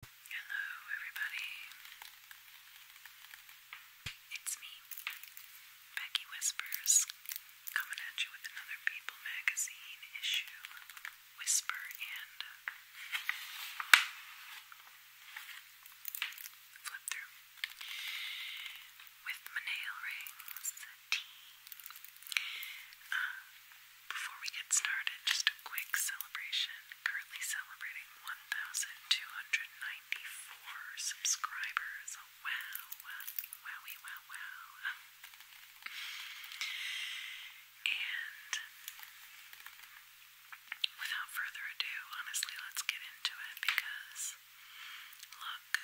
Hello, everybody. It's me, Becky Whispers, coming at you with another People Magazine issue Whisper and Flip Through with my nail rings, tea. Uh, before we get started, just a quick celebration. Currently celebrating 1,294 subscribers. Oh, wow, wowie, wow, wow. And without further ado, honestly, let's get into it because look,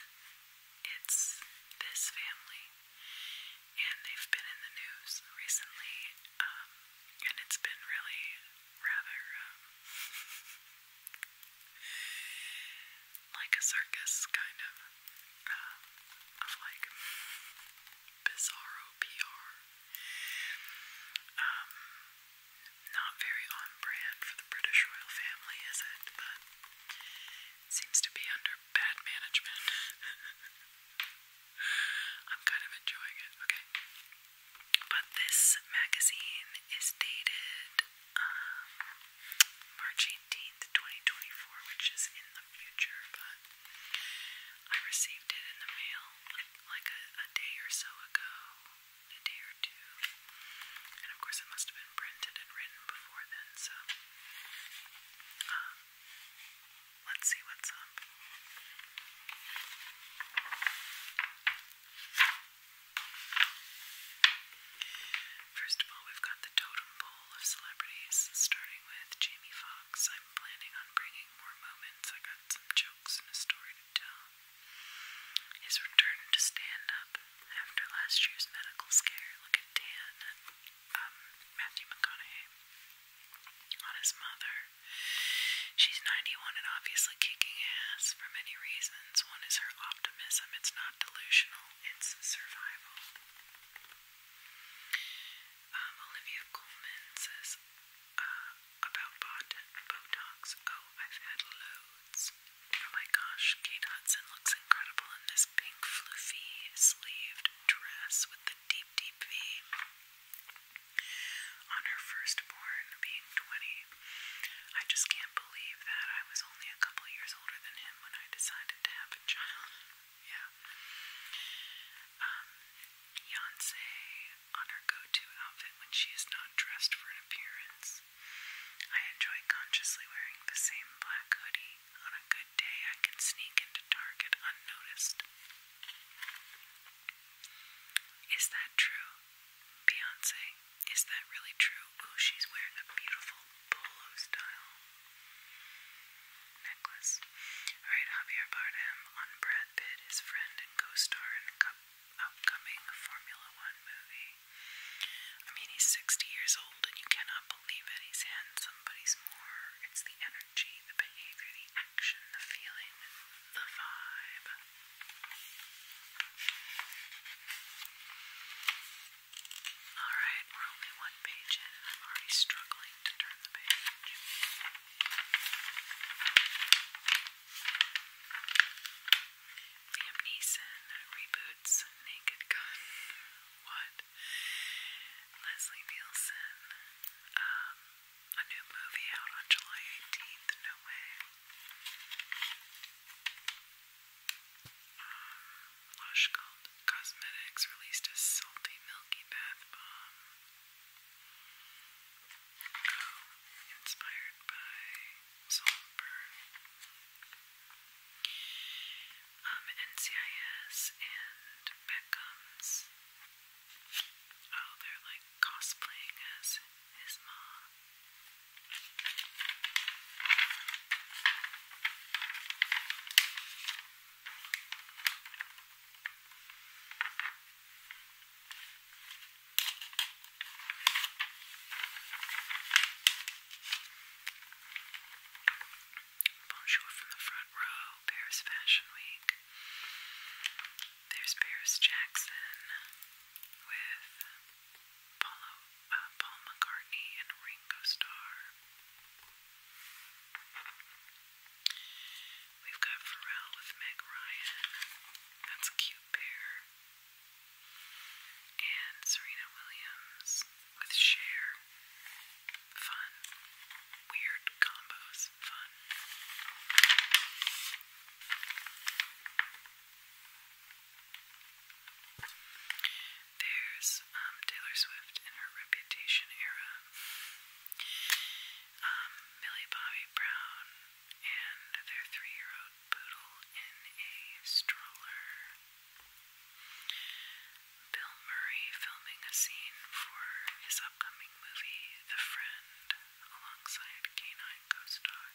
it's this family. And they've been in the news recently, um, and it's been really rather um, like a circus kind of um, of like bizarro PR. Um, not very on brand for the British royal family, is it? But it seems to be under bad management. I'm kind of enjoying it, okay? But this magazine is dated um, March 18th, 2024, which is in the future, but I received it in the mail like a, day or so ago, a day or two. And of course, it must have been printed and written before then, so. Um, Let's see what's up. First of all, we've got the totem pole of celebrities, starting with Jamie Foxx. I'm planning on bringing more moments. I got some jokes and a story to tell. His return to stand up after last year's medical scare. Look at Dan, um, Matthew McConaughey on his mother. She's 91 and obviously kicking ass for many reasons. One is her optimism, it's not delusional, it's survival. Um, Olivia Coleman says uh, about bot Botox. Oh, I've had loads. Oh my gosh, Kate Hudson looks incredible in this pink, floofy, sleeved dress with the deep, deep V on her firstborn being 20. I just can't believe that I was only a couple years older than him when I decided to have a child. yeah. Um, on her go to outfit when she is not dressed for an appearance. I enjoy consciously wearing the same black hoodie. On a good day, I can sneak into Target unnoticed. Is that true? Beyonce, is that really true? Oh, she's wearing a beautiful polo style necklace. Alright, Javier Bardem on Brad Pitt, his friend and co star in an upcoming Formula One movie. I mean, he's 60 years old and you cannot believe that He's hand somebody's more. It's the energy the behavior, the action, the feeling, the vibe. Alright, we're only one page in, and I'm already struggling to turn the page. Liam Neeson reboots Naked Gun. What Leslie Nielsen. Um, a new movie out on July 18th. No way. Um, Lush Cosmetics released a salty milky bath bomb. Oh, inspired by Saltburn. Um, NCIS and Beckham's Oh, they're like cosplaying as his mom. Bonjour from the front row, Paris Fashion Week. There's Paris Jackson with uh, Paul McCartney and Ringo Starr. We've got Pharrell with Meg Ryan. That's a cute pair. And Serena Williams with Cher. Fun. Weird combos. Fun. There's um, Taylor Swift in her Reputation era. Um, Millie Bobby Brown and their three-year-old poodle in a stroller. Bill Murray filming a scene for his upcoming movie, The Friend, alongside canine co-star.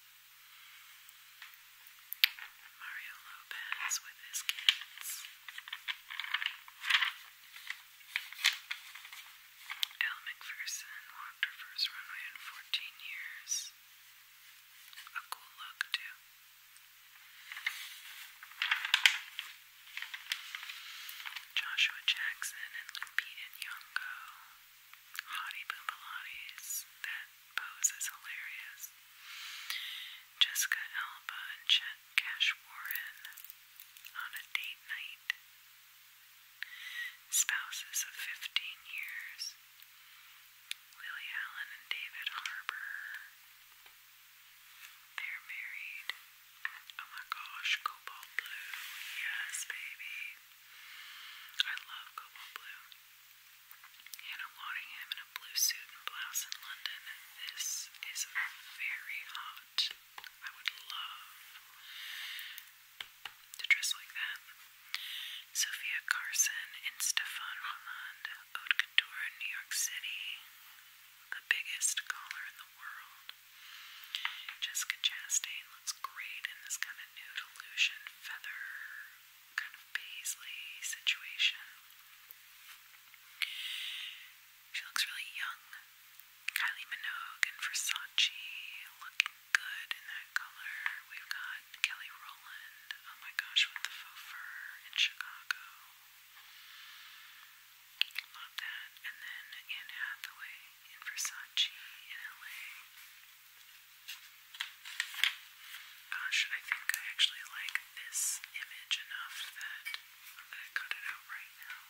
Mario Lopez with his kids. Al McPherson walked her first runway in 14 years. A cool look, too. Joshua Jackson and Limpy and Yonko. Hottie Boobalatis. That pose is hilarious. Jessica Alba and Chet Cash Warren on a date night. Spouses of 15 years. Lily Allen and David Harbour. They're married. Oh my gosh, cobalt blue. Yes, baby. I love cobalt blue. Hannah Waddingham in a blue suit and blouse in London. This is very hot. I would love to dress like that. Sophia Carson and Stefan Holland, Haute Couture in New York City the biggest color in the world. Jessica Chastain looks great in this kind of nude illusion feather kind of paisley situation. She looks really young. Kylie Minogue and Versace looking good in that color. We've got Kelly Rowland, oh my gosh, with the faux fur in Chicago. Love that. And then Anne Hathaway in Versace in LA. Gosh, I think I actually like this image enough that I'm going to cut it out right now.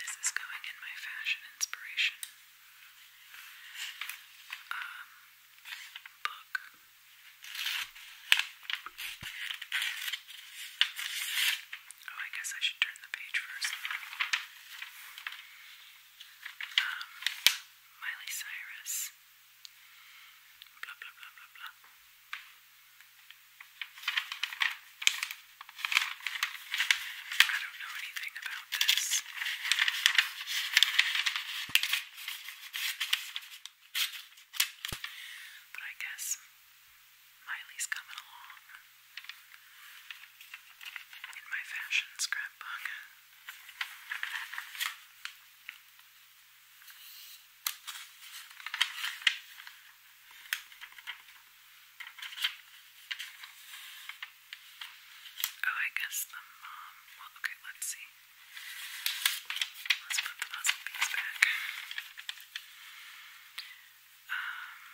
This is going in my fashion inspiration um, book. Oh, I guess I should turn the page first. Um, Miley Cyrus. Blah, blah, blah, blah, blah. I don't know anything about this. But I guess Miley's coming along in my fashion scrapbook. Oh, I guess the mom. okay, let's see. Let's put the puzzle piece back. Um,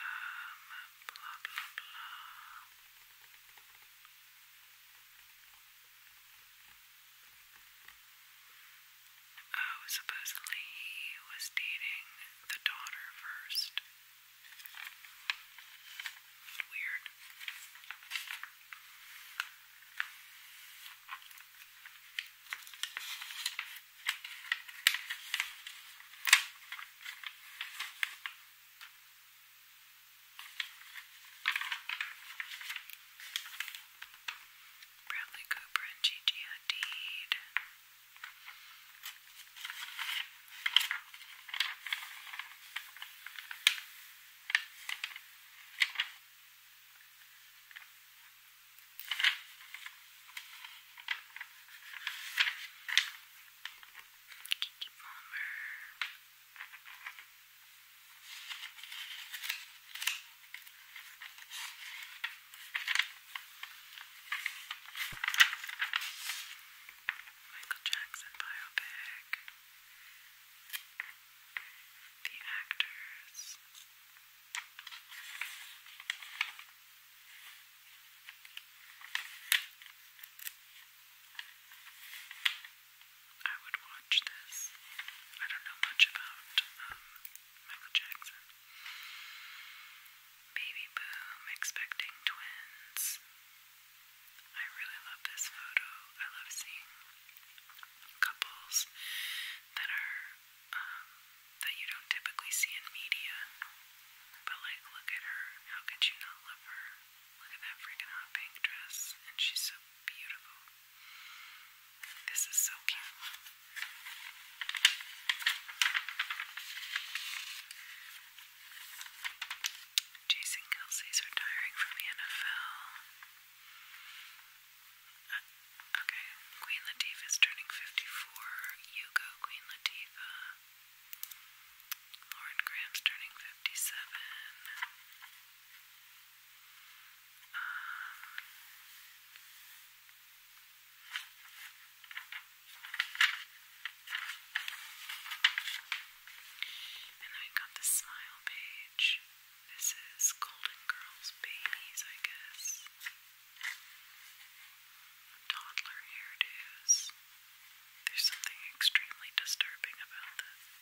um, blah, blah, blah. Oh, supposedly he was dating the daughter first weird. Bradley Cooper and Gigi Hadid. Kiki Palmer. Michael Jackson biopic the actors. I would watch this. I don't know much about um, Michael Jackson. Baby Boom, Expecting Twins, I really love this photo. I love seeing couples that are um, that you don't typically see in media. But like, look at her. How could you not love her? Look at that freaking hot pink dress, and she's so beautiful. This is so cute. Jason Kelsey's retiring from the NFL. Uh, okay, Queen Latifah's turning 54. You go, Queen Latifah. Lauren Graham's turning 57. Um, and I got the smile page. This is Golden Girls Babies, I guess. Toddler hairdos. There's something extremely disturbing about this.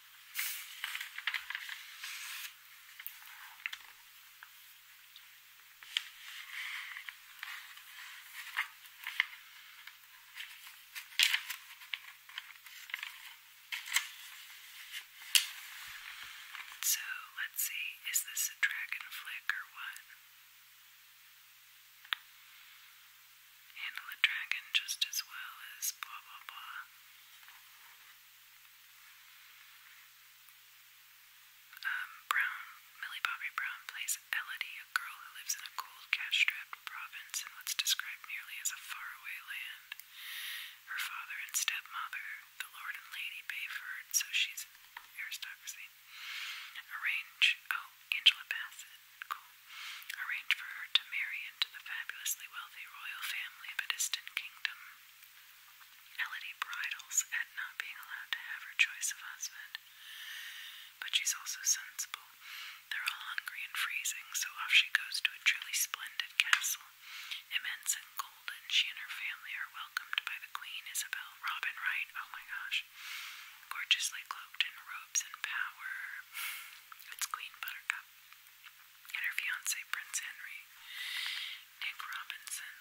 So let's see, is this a dragon flick or what? Handle a dragon just as well as blah blah blah. Um, Brown, Millie Bobby Brown plays Elodie a girl who lives in a cold, cash-strapped province in what's described merely as a faraway land. Her father and stepmother, the lord and lady Bayford, so she's aristocracy, arrange... Oh, Angela Bassett. Cool. Arrange for her to marry into the fabulously wealthy royal family of a distant kingdom. Elodie bridles at not being allowed to have her choice of husband. But she's also sensible. They're all hungry and freezing, so off she goes to a truly splendid castle. Immense and golden, she and her family are welcomed by the Queen Isabel. Robin Wright, oh my gosh. Gorgeously cloaked in robes and power. It's Queen Buttercup. And her fiance, Prince Henry. Nick Robinson,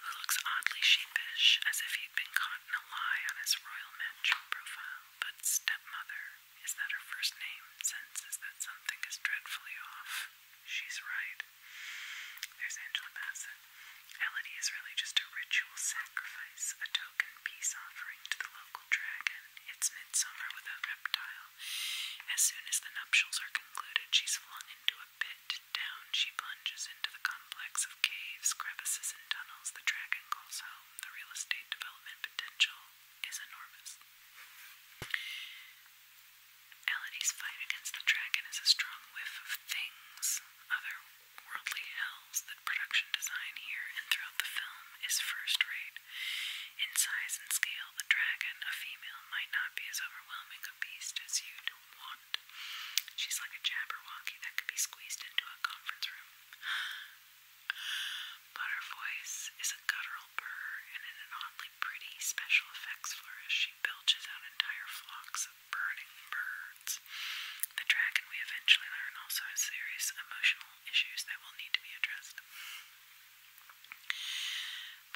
who looks oddly sheepish, as if he'd been caught in a lie on his royal match profile. But stepmother, is that her first name, is that something is dreadfully off. She's right. There's Angela Bassett. Elodie is really just a ritual sacrifice, a token peace offering to the local dragon. It's midsummer without reptile. As soon as the nuptials are concluded, she's flung into a pit. Down she plunges into the complex of caves, crevices, and tunnels the dragon calls home the real estate development potential is enormous. Elodie's fight against the dragon is a strong whiff of things, other worldly hells production design here and throughout the film is first rate. In size and scale, the dragon, a female, might not be as overwhelming a beast as you'd want. She's like a Jabberwocky that could be squeezed into a conference room. But her voice is a guttural burr, and in an oddly pretty special effects flourish, she belches out entire flocks of burning birds. The dragon, we eventually learn, also has serious emotional issues that will need to be addressed.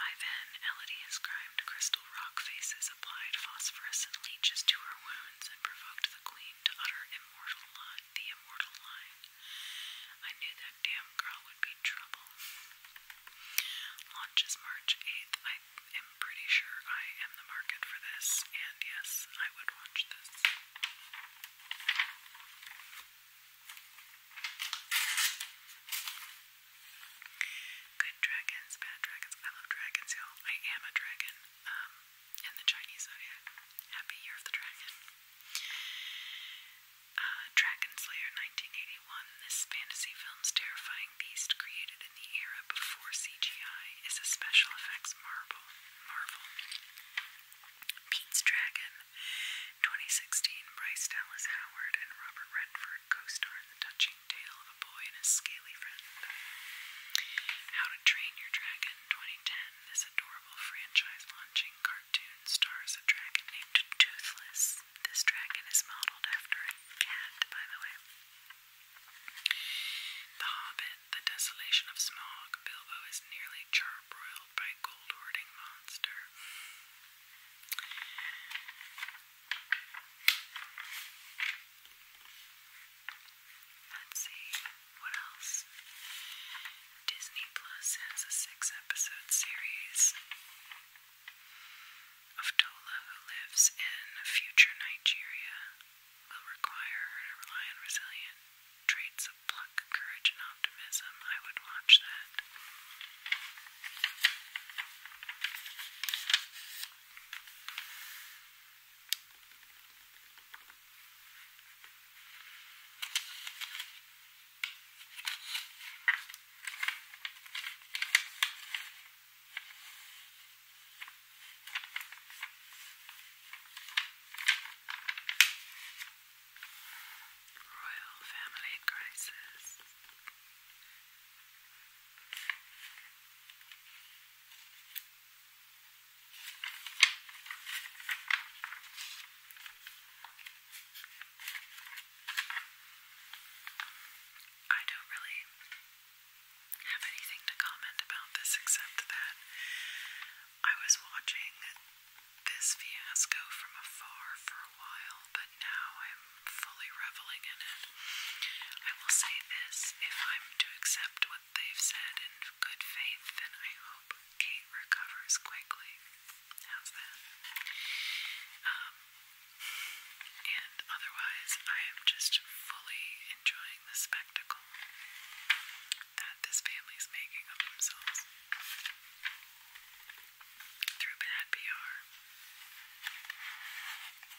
By then, Elodie has grimed crystal rock faces, applied phosphorus and leeches to her wounds, and provoked the queen to utter the immortal line. I knew that damn girl would be trouble. Launches March 8th. I am pretty sure I am the market for this, and yes, I would watch this. Good dragons, bad dragons. I love dragons, you I am a dragon. Um, in the Chinese zodiac. Happy Year of the Dragon. Uh, Dragon Slayer 1981. This fantasy film's terrifying beast, created in the era before CGI, is a special effects marvel. marvel. Pete's Dragon 2016. Bryce Dallas Howard and Robert Redford co star in the touching tale of a and his scaly friend. How to Train Your Dragon 2010. This adorable franchise launching cartoon stars a dragon named Toothless. This dragon is modeled after a cat, by the way. The Hobbit, The Desolation of Smog. Bilbo is nearly charbroiled by gold hoarding monster. Let's see what else. Disney Plus has a six episode series of Tola who lives in a future Nigeria. Will require her to rely on resilient traits of pluck, courage, and optimism. I would watch that. Royal Family Crisis. Royal I don't really have anything to comment about this except that I was watching this fiasco from afar for a while, but now I'm fully reveling in it. I will say this if I'm to accept what They've said in good faith, and I hope Kate recovers quickly. How's that? Um, and otherwise, I am just fully enjoying the spectacle that this family's making of themselves through bad PR.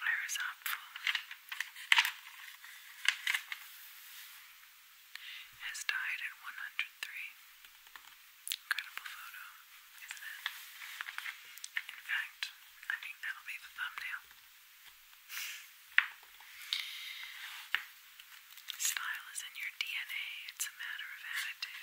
Where is that from? has died at 103. Incredible photo, isn't it? In fact, I think that'll be the thumbnail. Style is in your DNA, it's a matter of attitude.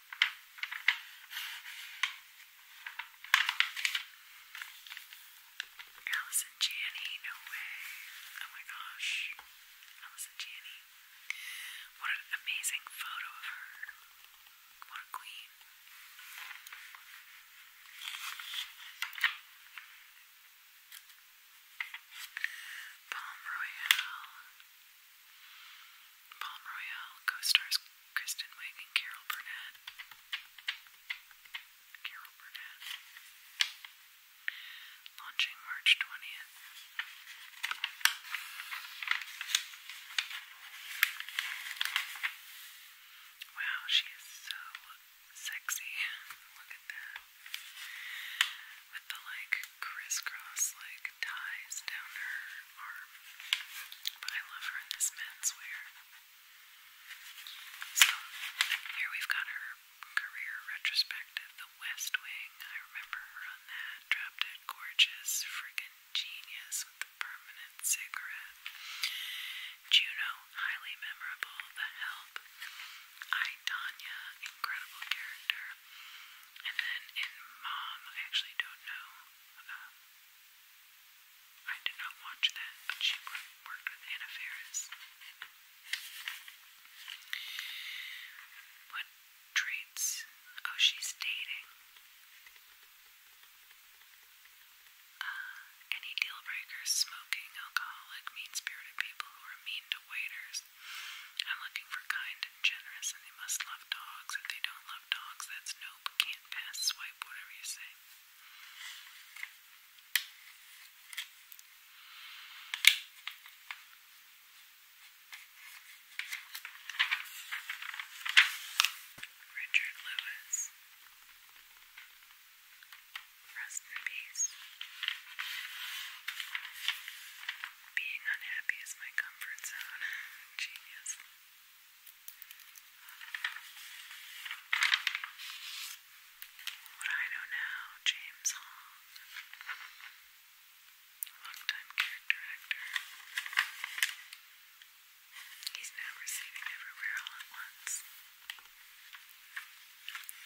Allison Janney, no way. Oh my gosh. Allison Janney. What an amazing photo of her. What a queen. Palm Royale. Palm Royale co-stars Kristen Wiig and Carol Burnett. Carol Burnett. Launching March 20th. Wow, she is so sexy. Look at that. With the like crisscross like ties down her but I love her in this menswear. So here we've got her career retrospective, The West Wing. I remember her on that. Drop Dead Gorgeous, friggin' genius with the permanent cigarette. Juno, highly memorable. The Help. I, Tanya, incredible character. And then in Mom, I actually don't know. Um, I did not watch that, but she worked with Anna Faris. What traits? Oh, she's dating. Uh, any deal breakers, smoking, alcoholic, mean spirited people who are mean to waiters. I'm looking for kind and generous, and they must love dogs. If they don't love dogs. That's nope. Can't pass. Swipe. Whatever you say. Richard Lewis. Rest in peace. Being unhappy is my comfort zone. Genius. What I know now, James Hong, longtime character actor. He's now receiving everywhere all at once.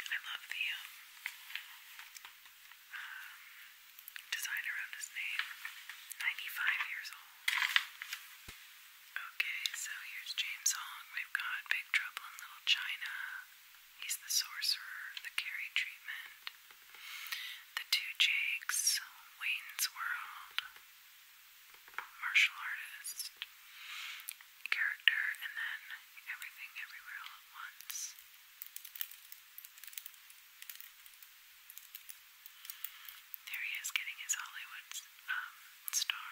I love the um, um, design around his name. 95 years old. Okay, so here's James Hong. We've got Big Trouble in Little China. He's the sorcerer, the carry treatment. The Two Jakes, Wayne's World, martial artist, character, and then everything everywhere all at once. There he is getting his Hollywood um, star.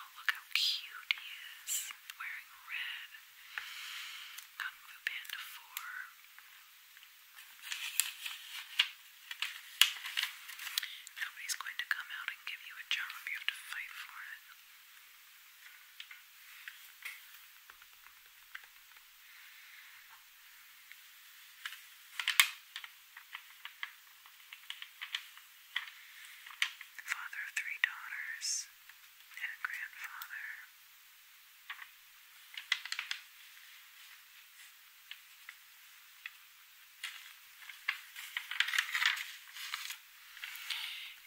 Oh, look how cute he is. Wearing red. Nobody's going to come out and give you a job. You have to fight for it. Father of three daughters and a grandfather.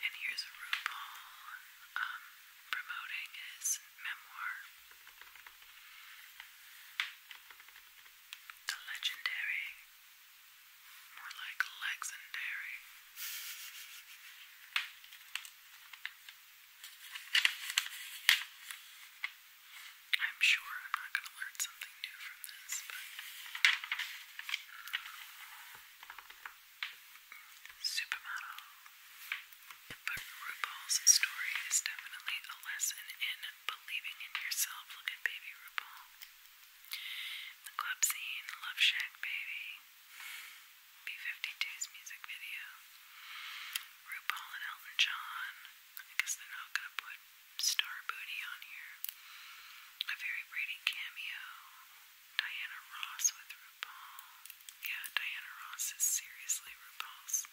And here's RuPaul um, promoting his memoir, the legendary, more like legendary. I'm sure I'm not going to learn something new from this, but supermodel but RuPaul's story is definitely a lesson in believing in yourself. Look at baby RuPaul. The club scene, Love Shack Baby, B52's music video, RuPaul and Elton John. I guess they're not gonna put Star Booty on here. A very Brady cameo, Diana Ross with RuPaul. Yeah, Diana Ross is seriously RuPaul's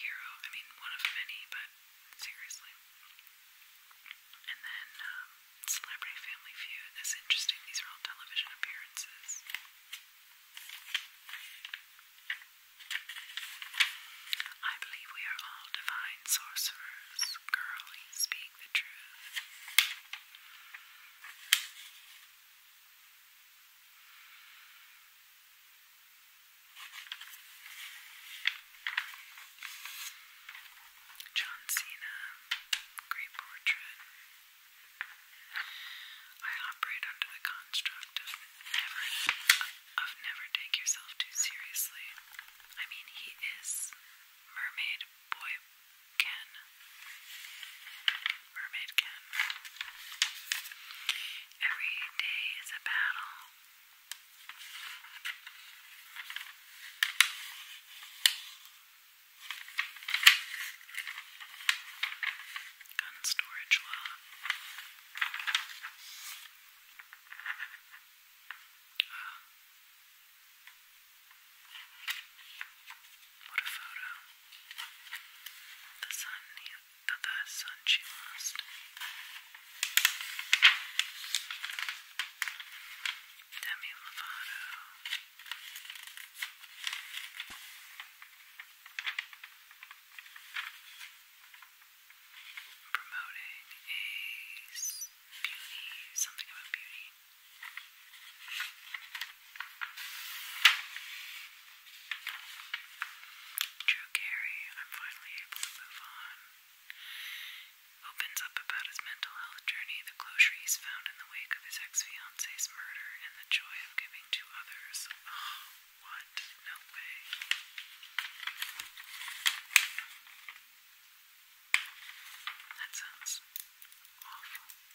hero. I mean, one of many, but seriously. And then um, Celebrity Family Feud. That's interesting. These are all television appearances. I believe we are all divine sorcerers. Girlie, speak the truth. John Cena, great portrait. I operate under the construct of never of never take yourself too seriously. I mean, he is mermaid boy Ken. Mermaid Ken. Every day is a battle. Gun storage law. What a photo. The sun, the, the sun she lost. Demi Lovato. Promoting a beauty, something about beauty. Drew Carey, I'm finally able to move on. Opens up about his mental health journey, the closure he's found in the wake of his ex fiance's murder, and the joy of giving to others. Oh, what? No way. That sounds awful.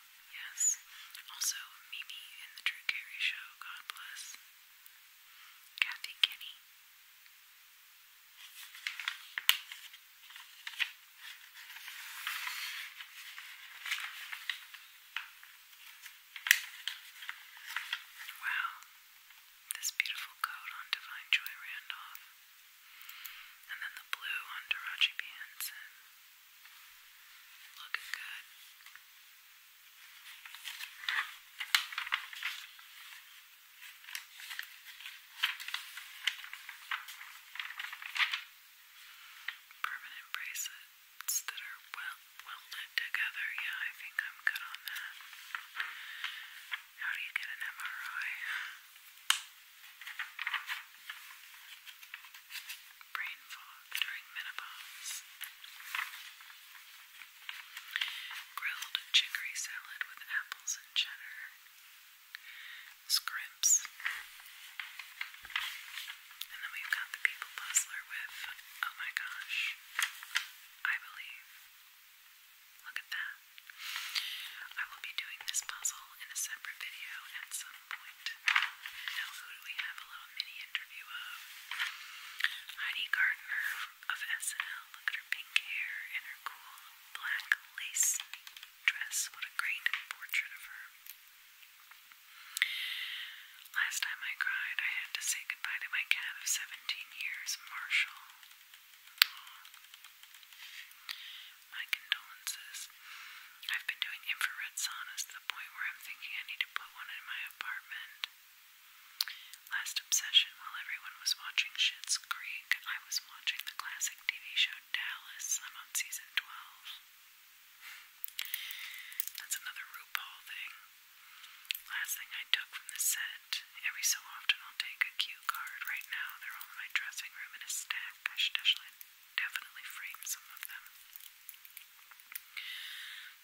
Yes. Also, Mimi in the Drew Carey Show, God bless. Kathy Kinney. Wow, this beautiful coat on Divine Joy Randolph, and then the blue on Taraji P. Looking good. Permanent bracelets that are well welded together. Yeah, I think I'm good on that. How do you get an MRI? brain fog during menopause. Grilled chicory salad with apples and cheddar. Scrimps. And then we've got the people puzzler with, oh my gosh, I believe. Look at that. I will be doing this puzzle in a separate video at some now, who do we have a little mini interview of? Heidi Gardner of SNL. Look at her pink hair and her cool black lace dress. What a great portrait of her. Last time I cried, I had to say goodbye to my cat of 17 years, Marshall. My condolences. I've been doing infrared saunas point where I'm thinking I need to put one in my apartment. Last obsession, while everyone was watching Shit's Creek, I was watching the classic TV show Dallas. I'm on season 12. That's another RuPaul thing. Last thing I took from the set. Every so often I'll take a cue card. Right now they're all in my dressing room in a stack. I should actually definitely framed some of them.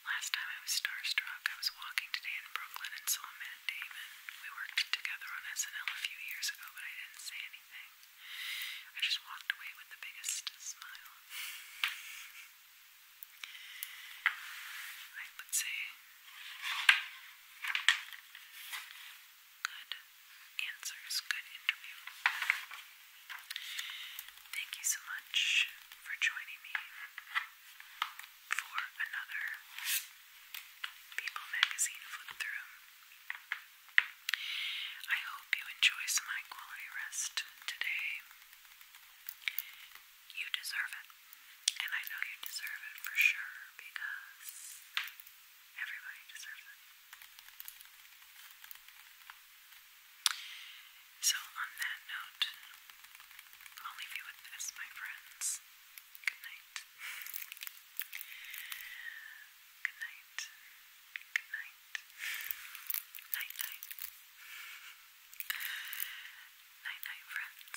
Last time I was starstruck, I was walking today in Brooklyn and saw Matt Damon. We worked together on SNL a few years ago, but I didn't say anything. I just walked away with the biggest smile. I would say good answers. Good interview. Thank you so much for joining me for another People Magazine flip through. I hope you enjoy some high quality rest today. You deserve it. And I know you deserve it for sure because everybody deserves it. So, on that note, I'll leave you with this, my friends. Good night. Good night. Good night. Night night. Night night, friends.